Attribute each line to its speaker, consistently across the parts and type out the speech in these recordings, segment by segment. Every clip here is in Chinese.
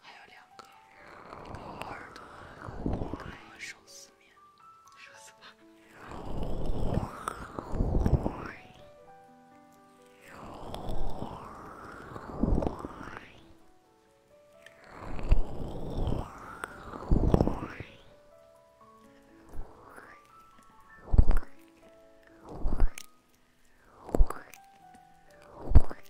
Speaker 1: 还有两个，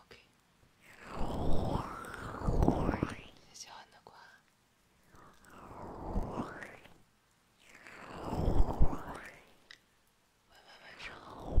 Speaker 1: OK。小安的乖。晚安，晚上好。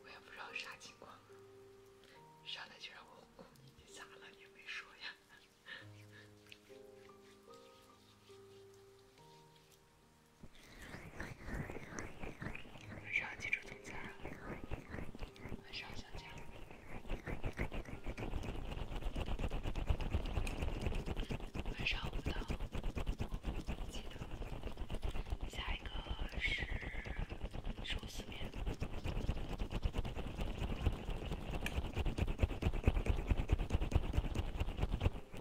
Speaker 1: 我也不知道啥情况，上来就让我哭，你咋了？你没说呀？晚上记住从家。晚上小江。
Speaker 2: 晚上五道。记得。下一个是周四面。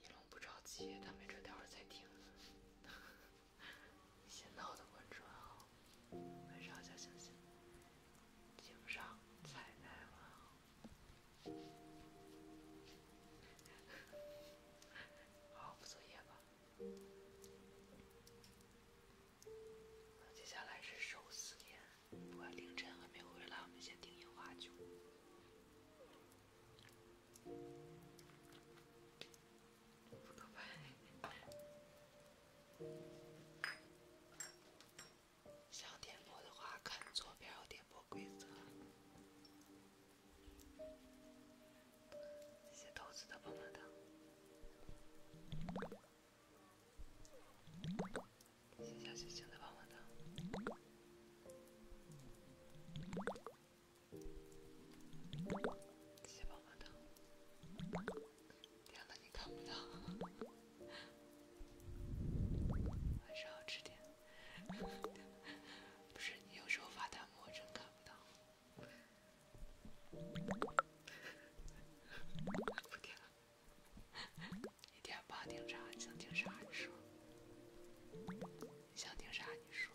Speaker 1: 一龙不着急，他没准待会儿再听。先闹的问号，晚上小心心，警上彩带问号。好好作业吧。那接下来是手撕面。我凌晨还没回来，我们先点烟花去。上点播的话，看左边有点播规则。谢谢豆子的棒棒糖。
Speaker 2: 谢谢小星星的棒棒糖，谢谢棒棒糖。天哪，你看不到。晚上吃点。不是你有时候发弹幕，我真看不到。
Speaker 1: 不掉了。一点吧，听啥？你想听啥你说，你想听啥你说。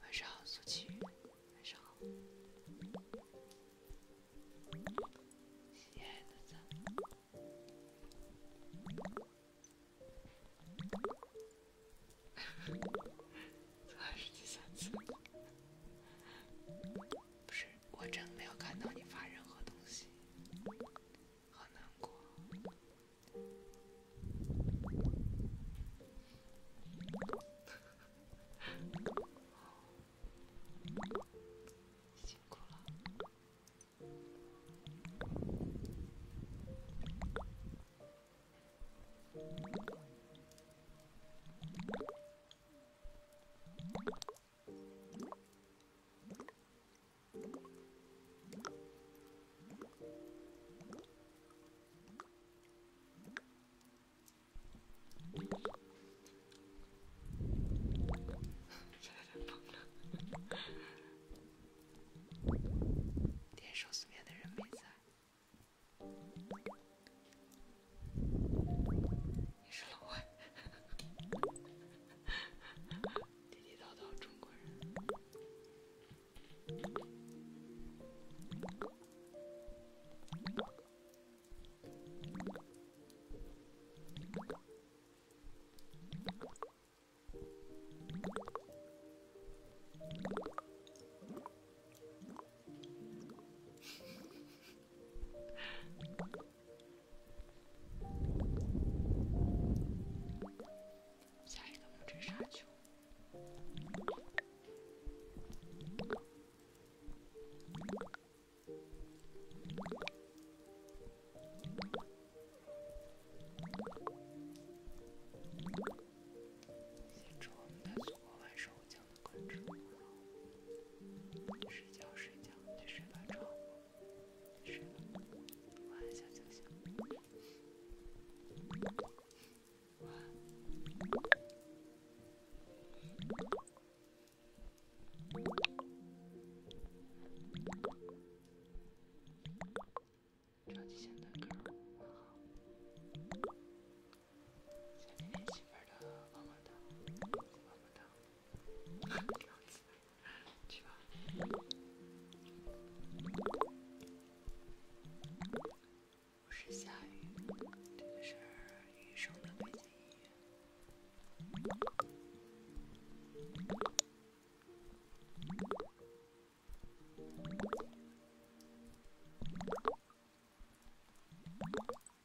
Speaker 1: 晚上好，苏琪。晚上好。亲
Speaker 2: 爱的，再见。还是第三次，不
Speaker 1: 是。我真没有看到你发任何东西，好难过，点寿司面的人没在。你是老外，地地道道中国人。下一个木制沙丘。先祝我们的祖国睡觉，睡觉，去睡吧，超我，睡了。晚安，小星星。超级简单的歌，好。
Speaker 2: 我是下雨，这个是雨声的背景音。若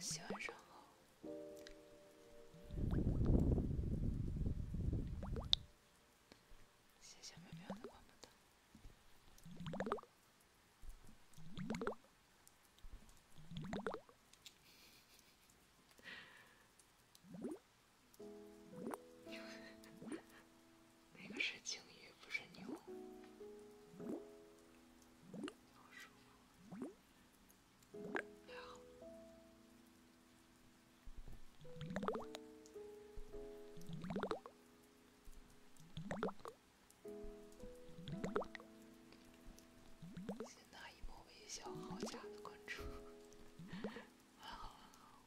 Speaker 1: 喜欢上后，谢谢喵喵的关注的。那个是鲸鱼，不是牛。的关注。好，好。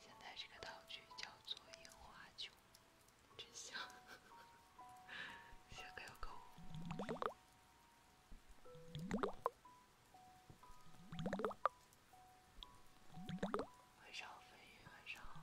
Speaker 1: 现在这个道具叫做樱花酒，真香。下课要购物。
Speaker 2: 晚上好，飞鱼，晚上好。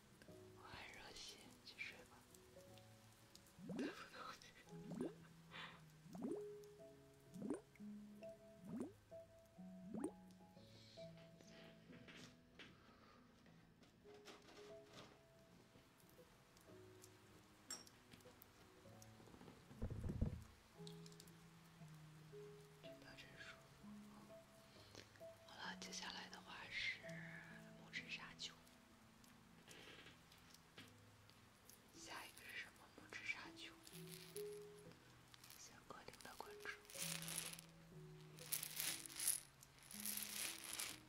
Speaker 1: 我很热心，去睡吧。好了，接下来的话是拇指沙丘。下一个是什么？拇指沙丘。先确定的关注。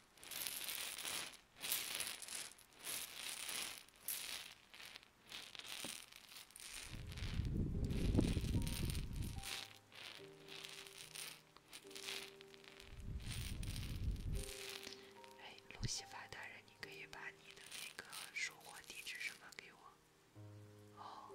Speaker 1: 哎，路西法大人，你可以把你的那个收货地址什么给我？哦。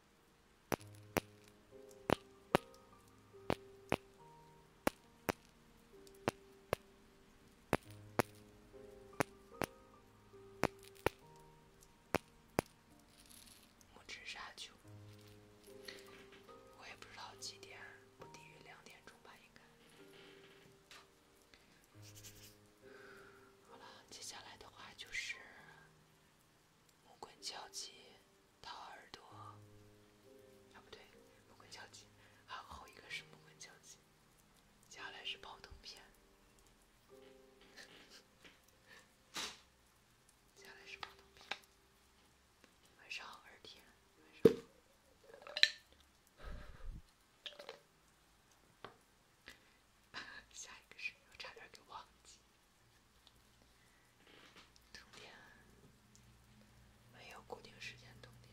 Speaker 1: 拇指沙丘，我也不知道几点，不低于两点钟吧，应该。好了，接下来的话就是。木棍敲击掏耳朵，啊不对，木棍敲击，啊后一个是木棍敲击，接下来是泡腾片，接下来是泡腾片。晚上好，二天。晚上好。下一个是我差点给忘记。没有固定时间通电。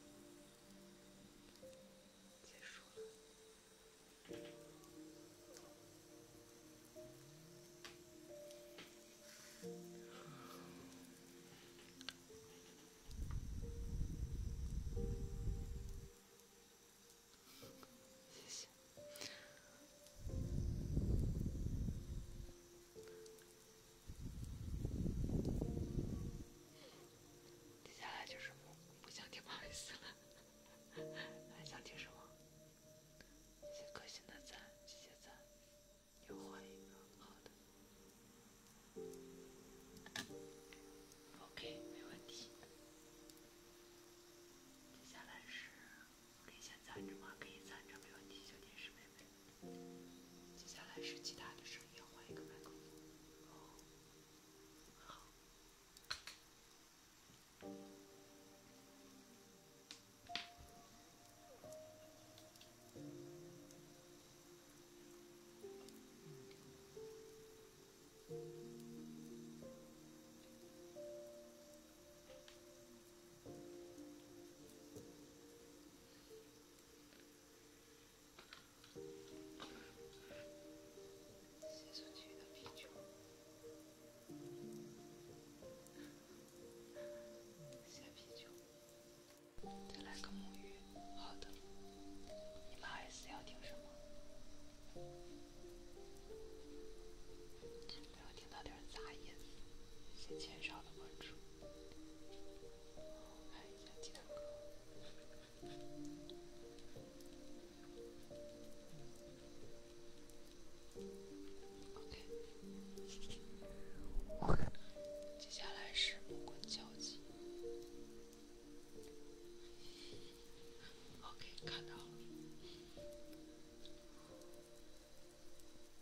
Speaker 1: 结束了。谢谢。接下来就是不不想听不好意思了，还想听什么？一些个性的赞，季节赞，又换一个好的。OK，没问题。接下来是可以先下赞，芝麻可以赞，着，没问题，小电视妹妹。接下来是其他的声音，换一个麦克风。哦，好。先喝点啤酒，先啤酒，再来个沐浴。好的，你妈也要听什么？不要听到点杂音，先减少的关注。
Speaker 2: OK，接下来是木看到了。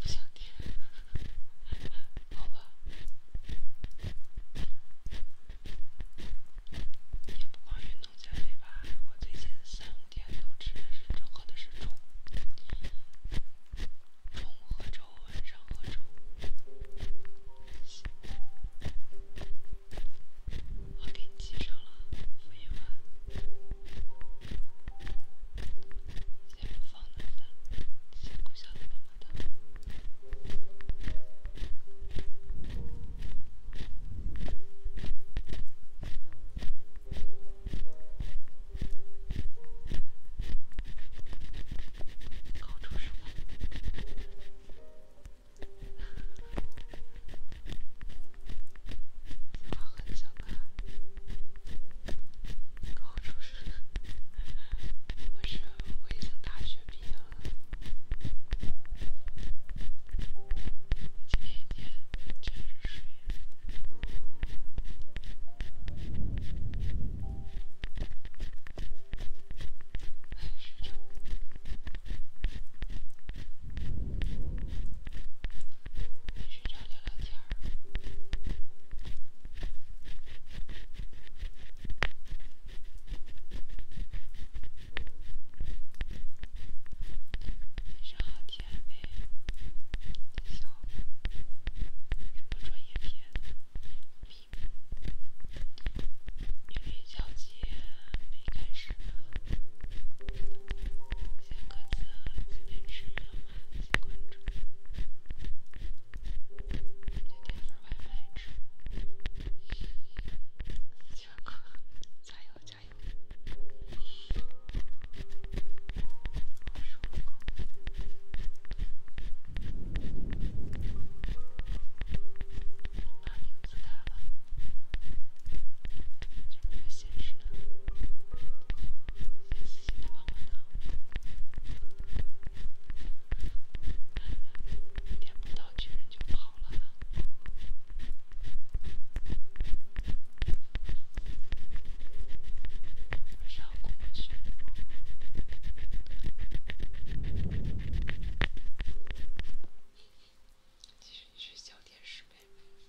Speaker 2: 不想听，好吧。也
Speaker 1: 不光运动减肥吧，我最近三五天都吃的是粥，喝的是粥，中午喝粥，晚上喝粥。我给你记上了，复印先不放了，先顾想办法。搞出什么？我很想看。高中时我是北京大学毕业，每天沉睡，睡没睡着，聊聊天儿。晚好，天你什么专业片？交接没开始写歌词，今天吃了吗？关注，就点份外卖吃。上课，加油加油。我说，加油加油。现实呢？仔细地帮我打。天不到巨人就跑了。少攻击。其实你是小电视妹妹。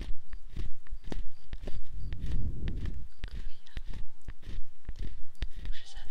Speaker 1: 五十三的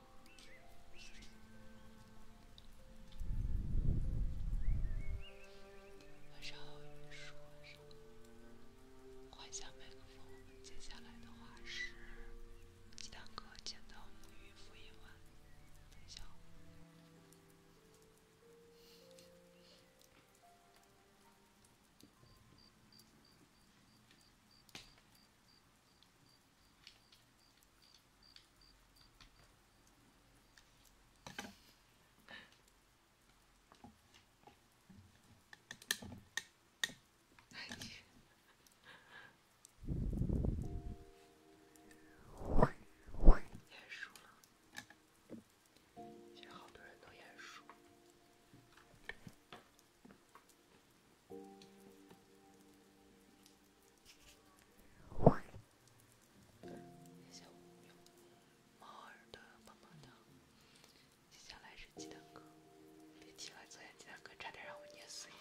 Speaker 1: 稍雨说：“放下麦克风，接下来的话是吉大哥见到我们雨父一晚。”等一下。我我眼熟了，现在好多人都眼熟。猫儿的棒棒糖，接下来是鸡蛋哥。别提了，昨天鸡蛋哥差点让我捏碎。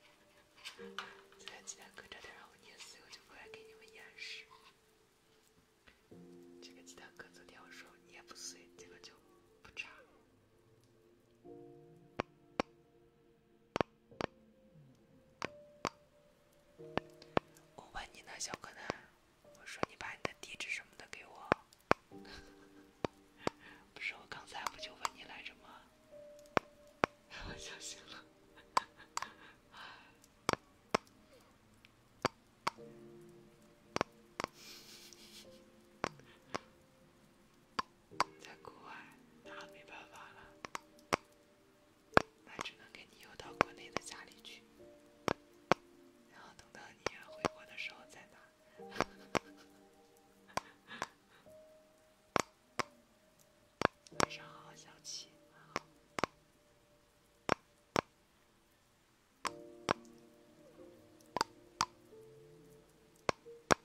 Speaker 1: 昨天鸡蛋哥差点让我捏碎，我就过来给你们演示。这个鸡蛋哥昨天我说捏不碎，这个就不差。我问你呢，小可南，我说你把你的地址什么的给我，不是我刚才不就问你来着吗？我相信了。在国外，那没办法了，那只能给你邮到国内的家里去，然后等到你回国的时候再拿。晚上好，小七，晚上好。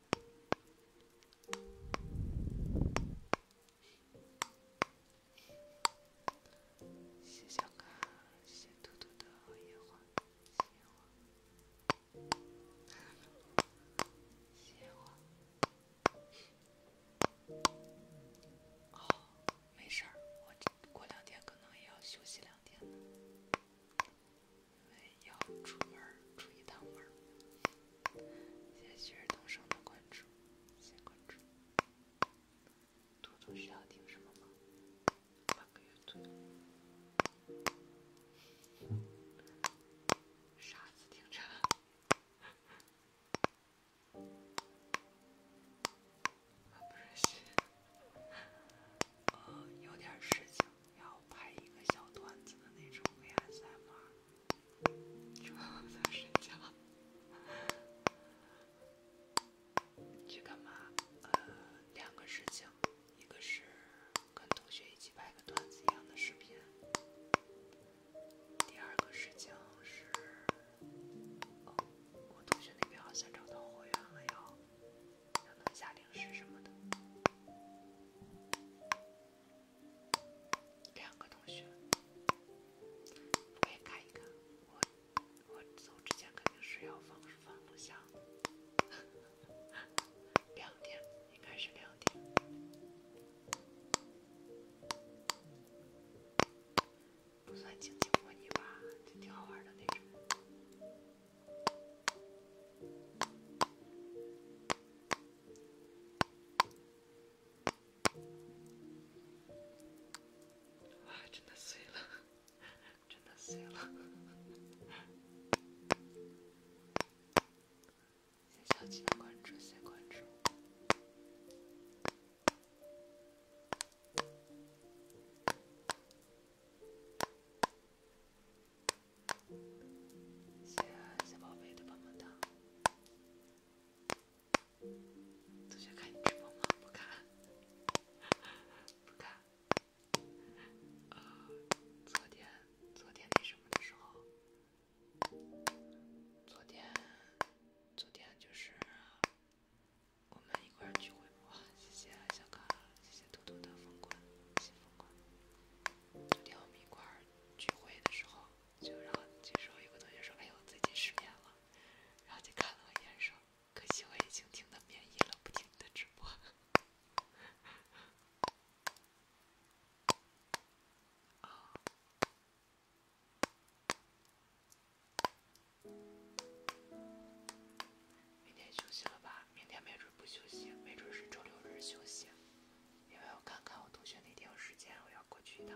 Speaker 1: 的花，花。好，没事儿，我这过两天可能也要休息两天因为要出门出一趟门谢谢旭日东升的关注，谢谢关注。嘟嘟需要听什么吗？半个月左右。子听着？呃，有点事情，要拍一个小段子的那种 VSMR。周末在睡觉，去干嘛？呃，两个事情，一个是跟同学一起拍个段子一样的视频，第二个事情是，我同学那边好像找到货源了，要要弄下零食什么的。两个同学，我也看一看。我我走之前肯定是要放放录像。两点，应该是两点。不算经济模拟吧，挺好玩的那种。哇，真的碎了，真的碎了！先小心关注，先关注。谢谢小宝贝的棒棒糖。同学看你直播吗？不看。不看。啊，昨天昨天那什么的时候，昨天昨天就是我们一块聚会嘛。谢谢小卡，谢谢兔兔的皇冠，谢谢皇冠。昨天我们一块。儿聚会的时候，就然后这时候有个同学说：“哎呦，最近失眠了。”然后就看了我眼神，可惜我已经听的免疫了，不听你的直播。明天休息了吧？明天没准不休息，没准是周六日休息。
Speaker 2: 因为我看看我同学那天有时间，我要过去一趟。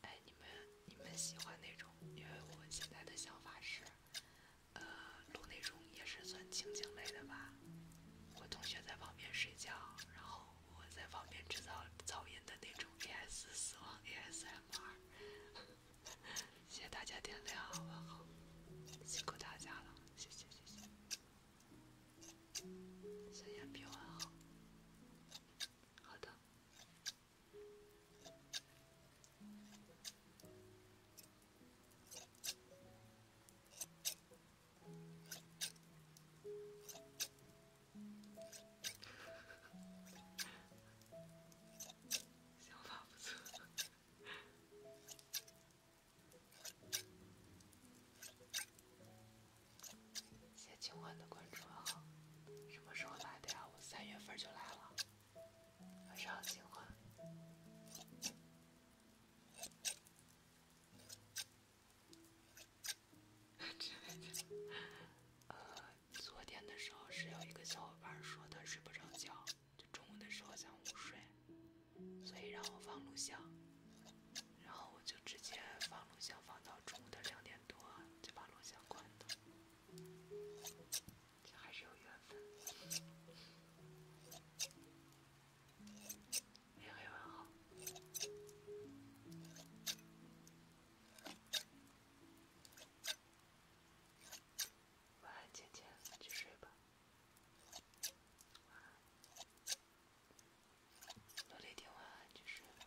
Speaker 1: 哎，你们你们喜欢那种？因为我现在的想法是，录那种也是算情景类的吧。我同学在旁边睡觉，然后。我在旁边制造噪音的那种 AS 死亡 ASMR，谢谢大家点亮，晚好，辛苦大家了，谢谢谢
Speaker 2: 谢，
Speaker 1: 小羊平安好，好的。
Speaker 2: 想法不错，
Speaker 1: 谢清欢的关注啊！什么时候来的呀？我三月份就来了。晚上，清
Speaker 2: 欢。呃，昨天
Speaker 1: 的时候是有一个小伙伴说他睡不着觉，就中午的时候想午睡，所以让我放录像，然后我就直接放录像放到中午的两点多就把录像关了，这还是有缘分。夜黑问好。晚安，姐姐，去睡吧。晚安，罗丽婷，晚安，去睡吧。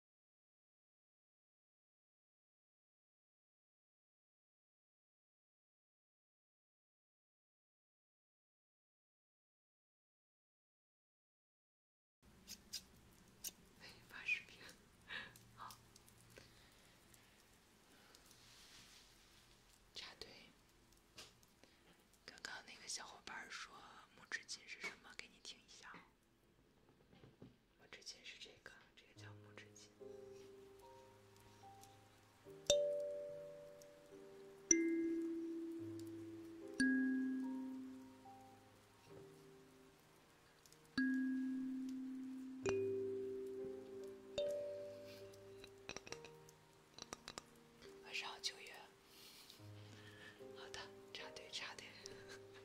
Speaker 2: 给你发视频，好。
Speaker 1: 插队，刚刚那个小伙伴说拇指琴是什么，给你听一下。晚上好，九月。好的，插队插队。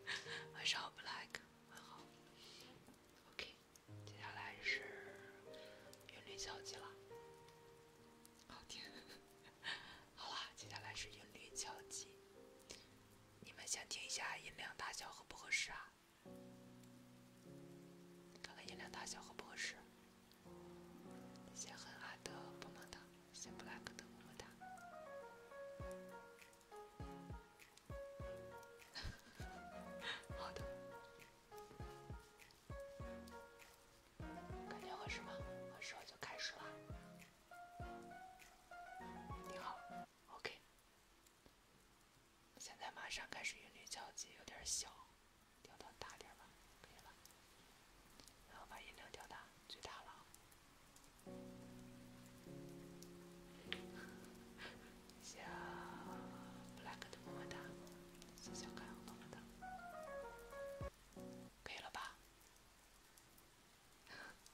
Speaker 1: 晚上好，Black。晚好。OK，接下来是韵律敲击了，好听。好啦，接下来是韵律敲击，你们先听一下音量大小合不合适啊？看看音量大小合不合适。谢很爱的棒棒哒，谢 a c k 的么么哒。好的，感觉合适吗？合适我就开始了。你好，OK。现在马上开始，音量交集，有点小，调到大点吧，可以了。然后把音量调大，最大了小，不拉个的么么哒，小小个的么么哒，可以了吧？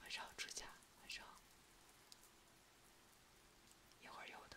Speaker 1: 晚上好，猪佳，晚上好，一会儿有的。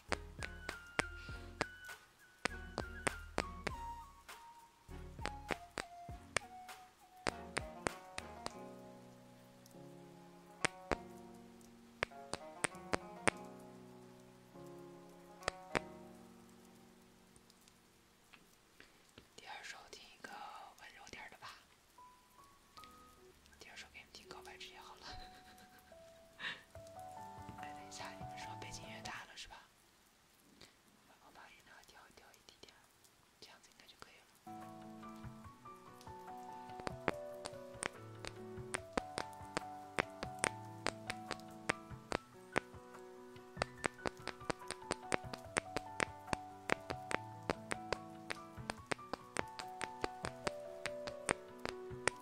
Speaker 1: 第二首，听一个温柔点的吧。第二首给你们听告白之夜好了。哎，等一下，你们说背景音乐大了是吧？我把音量调一调一点点，这样子应该就可以了。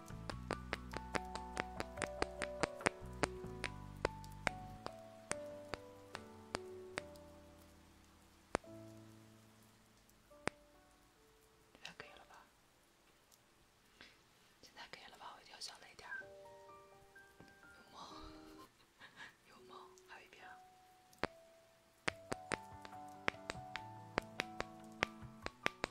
Speaker 1: 现在可以了吧？现在可以了吧？我一定要小雷点儿。有猫，有猫，还有一片。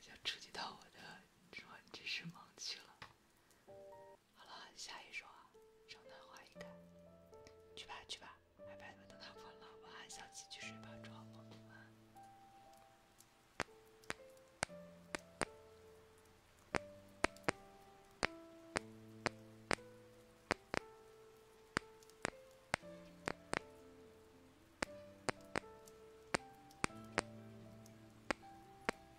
Speaker 1: 想 触及到我的专业知识盲区了。好了，下一首《啊，圣诞花一开》，去吧去吧，拜拜了，等他疯了，我还想继续睡吧，装模作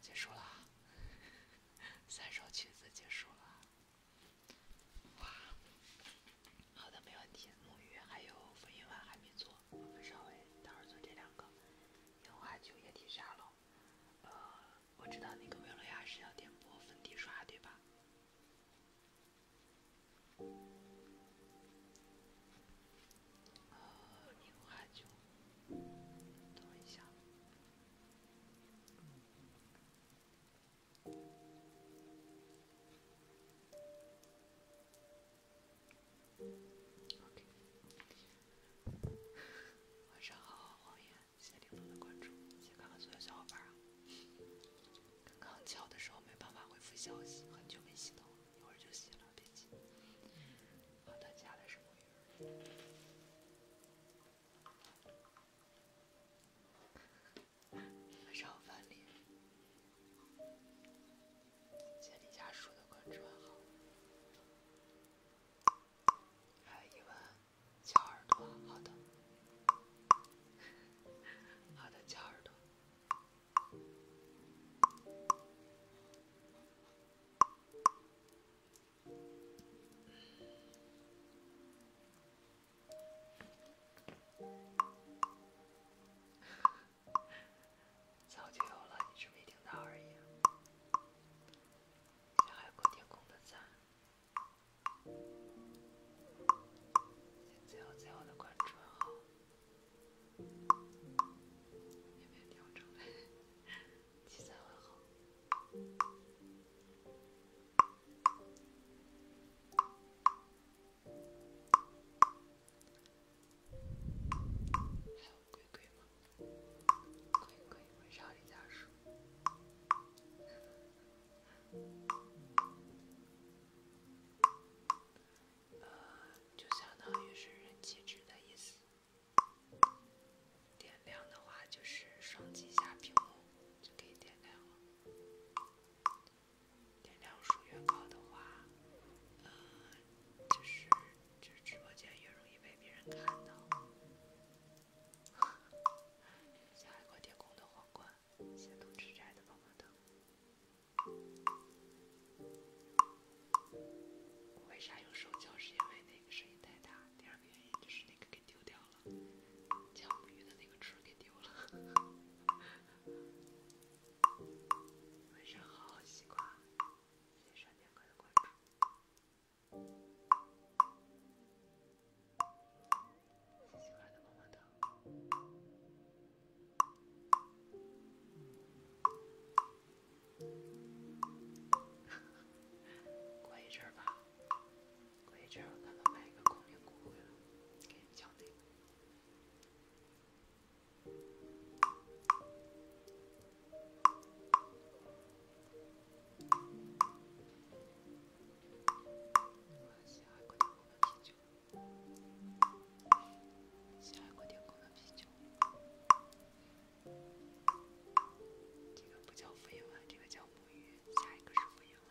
Speaker 1: 结束了。三首曲子结束了。哇，好的，没问题。沐浴还有粉底液还没做，我们稍微待会儿做这两个。樱花酒液体沙漏，呃，我知道那个薇洛雅是要点播粉底刷对吧？呃，樱花酒，等一下。晚上好，谎言！谢谢玲珑的关注，先看看所有小伙伴儿。刚刚敲的时候没办法回复消息，很久没洗头，一会儿就洗了，别急。好的，接下来是。木鱼。晚上好，凡凡。谢谢李家属的关注，好。来，一文，小耳朵，好的，好的，小耳朵。早就有了，你只没听到而已。向海阔天空的赞。向最好最好的关注。有没有调整？气 色很好。
Speaker 2: 还有鬼吗？鬼鬼，我少一点说。呃，就相当于是人
Speaker 1: 气值的意思。点亮的话就是双击一下屏幕就可以点亮了。点亮数越高的话，呃，就是这直播间越容易被别人看到。手敲？是因为那个声音太大。第二个原因就是那个。丢掉了，江母鱼的那个翅给丢了。晚上好，西瓜，谢谢闪电哥的关注，西瓜的朋友们，过一阵儿吧。过一阵儿，咱们买一个空灵鼓鼓的，给你敲那个。十二鼓点工的皮球，十二鼓点工的皮球。这个不叫飞吻，这个叫木鱼，下一个是飞吻。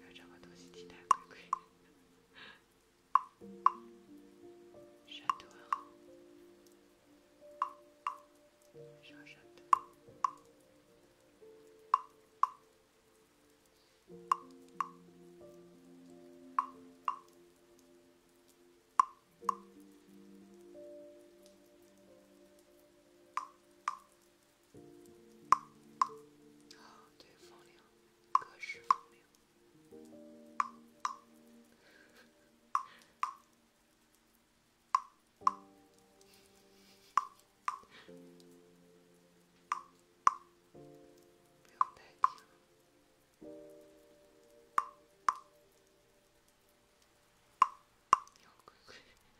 Speaker 1: 要找个东西替代龟龟，闪躲。没啥闪躲。啊，对，风铃，各式风铃。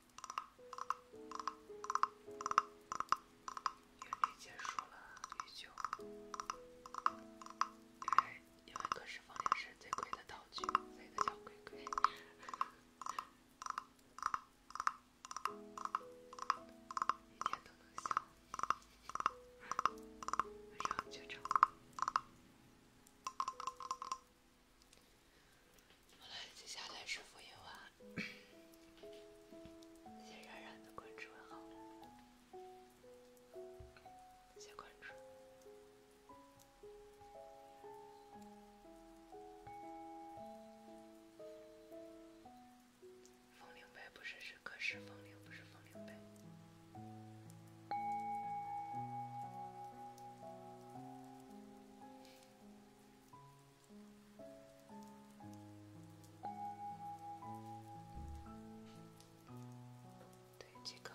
Speaker 1: 韵律结束了，语句。因为，因为可是方脸是最贵的道具，所以叫鬼鬼。一天都能笑，然后就成。来，接下来是福音哇！谢冉冉的关注，谢关注。风铃呗，不是是，可是风铃不是风铃呗。对这个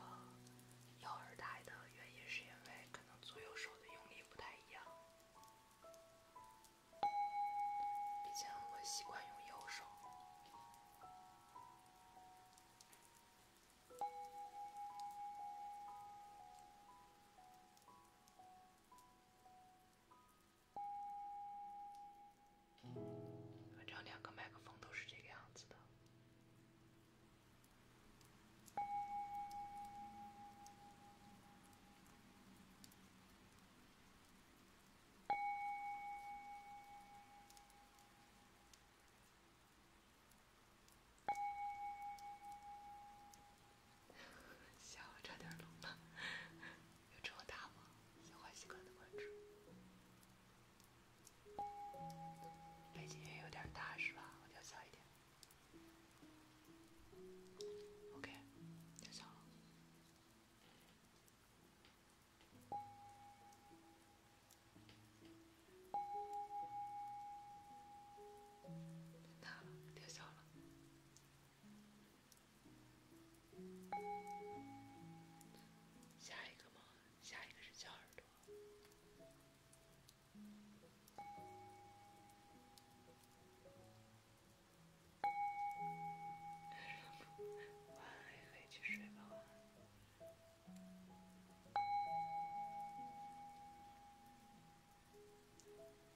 Speaker 1: 右耳大，的原因是因为可能左右手的用力不太一样，毕竟我习惯用右手。反正两个麦克风都是这个样子的。笑，差点冷了。有这么大吗？小欢喜哥的关注。背景也有点大是吧？我调小一点。OK，调小了。太大了，调小了。下一个吗？下一个是小耳朵。晚安，晚安，黑去睡吧，晚安。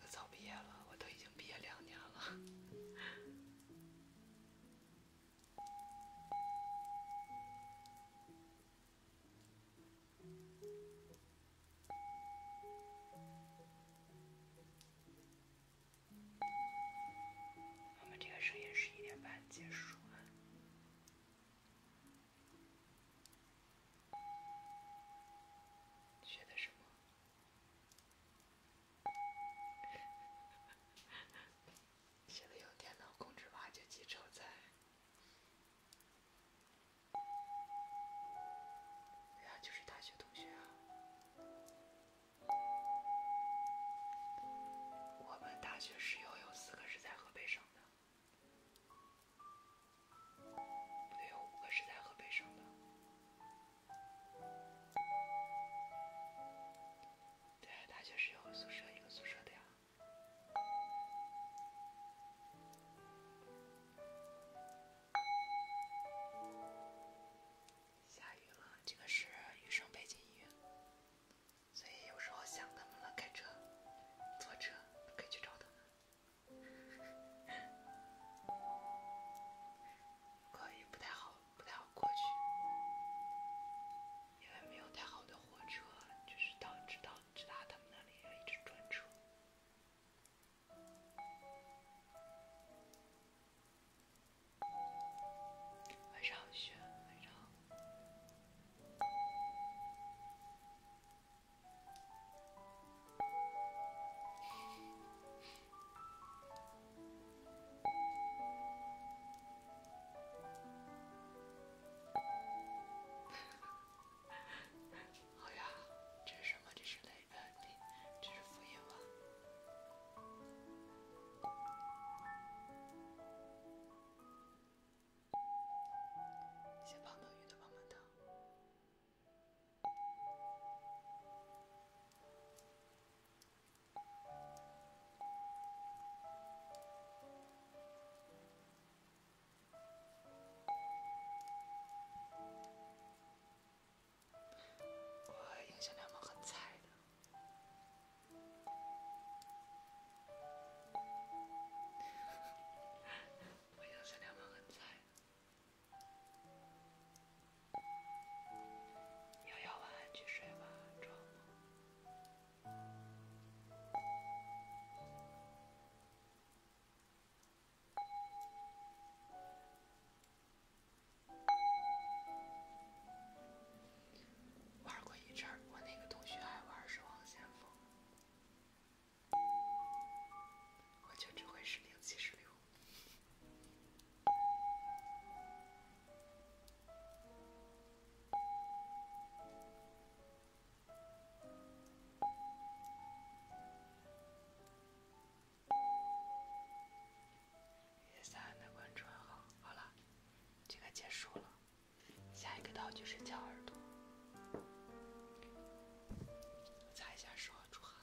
Speaker 1: 我早毕业了，我都已经毕业两年了。我们这个声音十一点半结束学的什么？现在用电脑控制吧，就去炒菜。对啊，就是大学同学啊。我们大学室友有四个是在河北省的，不对，有五个是在河北省的。对，大学是一个宿舍一个宿舍的呀。下雨了，这个是雨声背景音乐，所以有时候想他们了，开车、坐车可以去找他们。可以不太好，不太好过去，因为没有太好的火车，就是到直到直达他们那里一直转车。晚上好，轩。晚上好。好 呀，这是什么？这是雷版的，这是福音啊！谢胖豆雨的棒棒糖。我英雄联盟很菜的，我英雄联盟很菜。瑶瑶，晚安，去睡吧，装玩过一阵我那个同学还玩《守望先锋》，我就只会《使命七十六》。点赞的关注好这个结束了。下一个道具是敲耳朵，
Speaker 2: 擦一下手，出汗。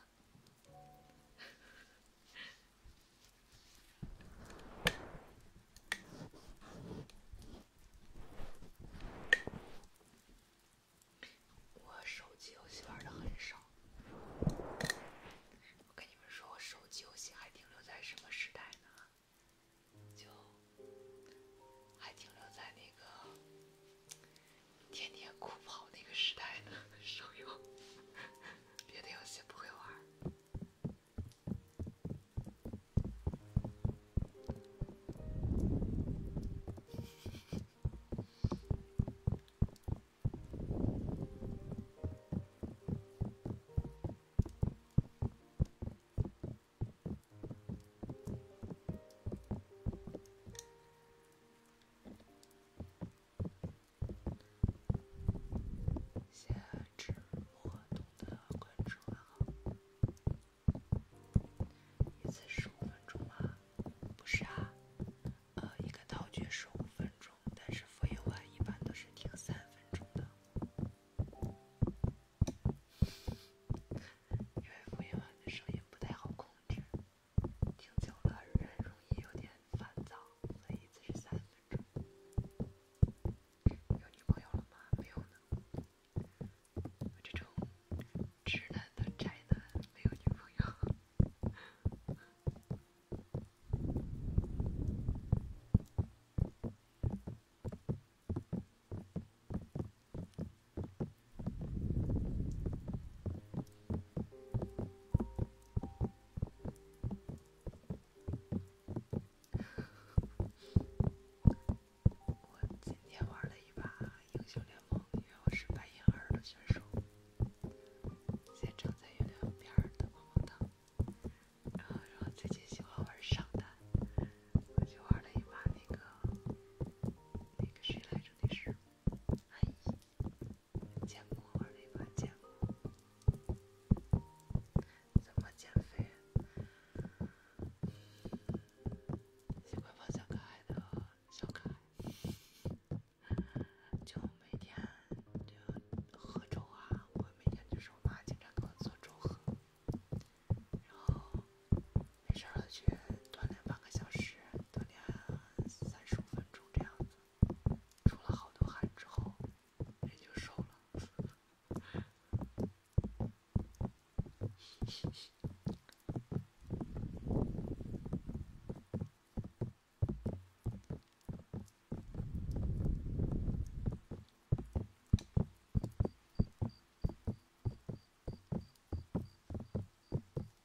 Speaker 1: 我手机游戏玩的很少，我跟你们说，我手机游戏还停留在什么时代呢？就还停留在那个。
Speaker 2: 天天酷跑那个时代的 手游，
Speaker 1: 别的游戏不会玩。夏之活动的关注完好，一次十五分钟吗？不是呃，一个套卷十五分钟，但是复演完一般都是停三分钟的，因为复演完的声音不太好控制。听久了人容易有点烦躁，所以只是三分钟。有女朋友了吗？没有呢。我这种直男的宅男没有女朋友。我今天玩了一把英雄联盟，因为我是白银二的选手，现在正在月亮边的棒棒糖，然后最近喜欢玩上单，我就玩了一把那个那个谁来着那是。哎，减过还是没减过？怎么减肥？喜欢放小可爱的小可爱，就每天就喝粥啊。我每天就是我妈经常给我做粥喝，然后没事了去锻炼半个小时，锻炼三十五分钟这样子。出了好多汗之后，人就瘦了。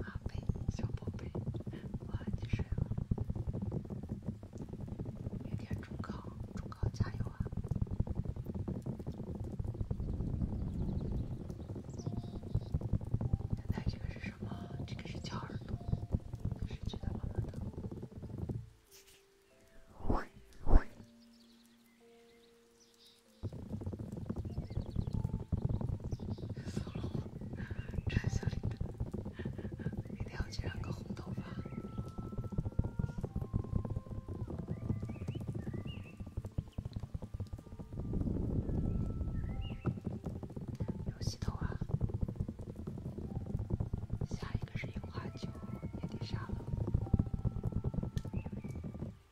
Speaker 1: 阿贝，小宝贝，晚安，你睡了。明天中考，中考加油啊！现在这个是什么？这个是叫耳朵，是知道吗？那的。小龙，小礼服，一定要染个红头发。要洗头啊！下一个是樱花酒，也得杀了。